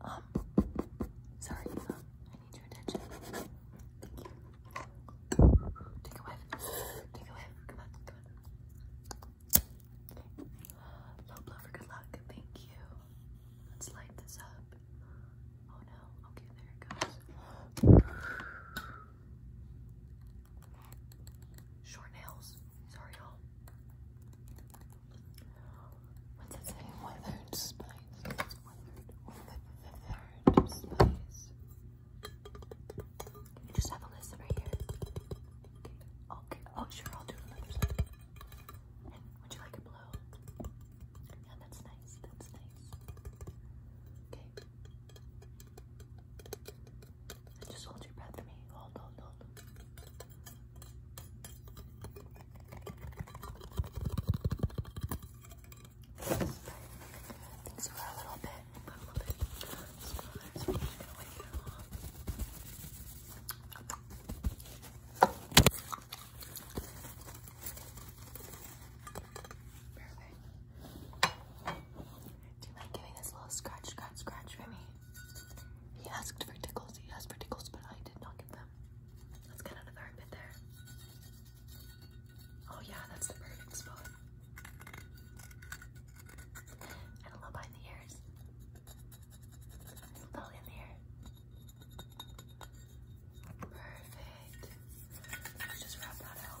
Um, sorry, um, I need your attention. Take a whiff. Take a whiff. Come on, good luck. Thank you. Let's light this up. Oh no. Okay, there it goes. Short nails. Sorry, y'all. What's it say? Withered spice. It's withered, withered spice. You just have a list right here. Okay. Oh, sure. I'll do another side. would you like a blow? Yeah, that's nice. That's nice. Okay. Just hold your breath for me. Hold, hold, hold. Things Do you mind giving this little scratch, scratch, scratch for me? He asked for tickles, he asked for tickles, but I did not give them. Let's get out bit there. Oh yeah, that's perfect And a little behind the ears. A little in the ear. Perfect. Let's just wrap that out.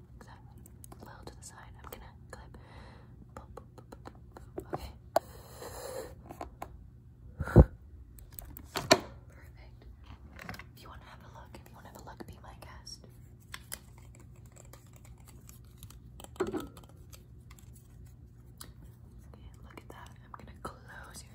I'm gonna Perfect. If you wanna have a look, if you wanna have a look, be my guest. Okay, look at that. I'm gonna close your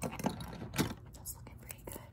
Perfect. That's looking pretty good. Okay,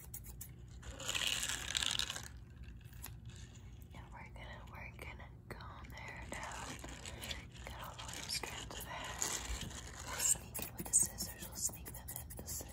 And we're gonna, we're gonna go on there now. Got all those strands of hair. We'll sneak it with the scissors. We'll sneak them in the scissors.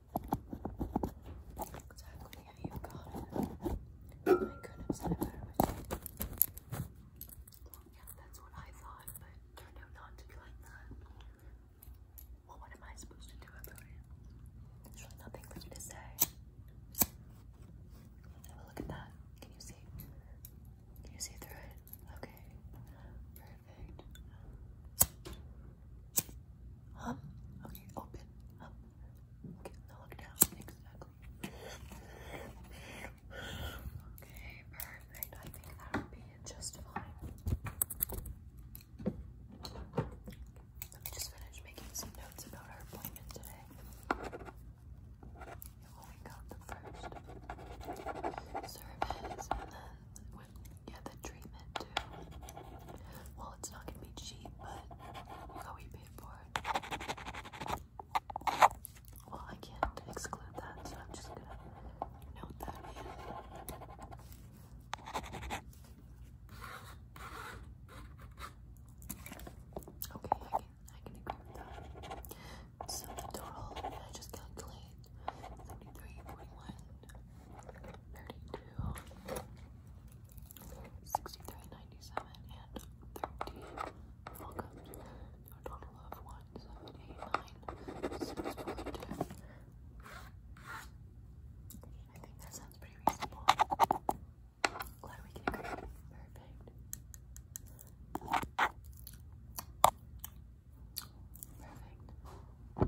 Exactly how you got it. I could have said it better yeah, that's what I thought, but turned out not to be like that. Well, what am I supposed to do about it? There's really nothing for me to say. Have a look at that. Can you see? Can you see through it? Okay. Perfect. Huh? Okay, open. Okay, perfect. I think that would be just fine. Let me just finish making some notes about our appointment today. we got the first service and then with yeah, the treatment too. Well, it's not gonna be cheap, but how we pay for it. Well, I can't exclude that, so I'm just gonna note that in. Okay, I can I can agree with that. So the total I just calculate 73, 41, 32, 63, 97, and 13. Welcome to a total of 1, 7, 10. I think that sounds pretty reasonable. Glad we can agree. Perfect. Perfect.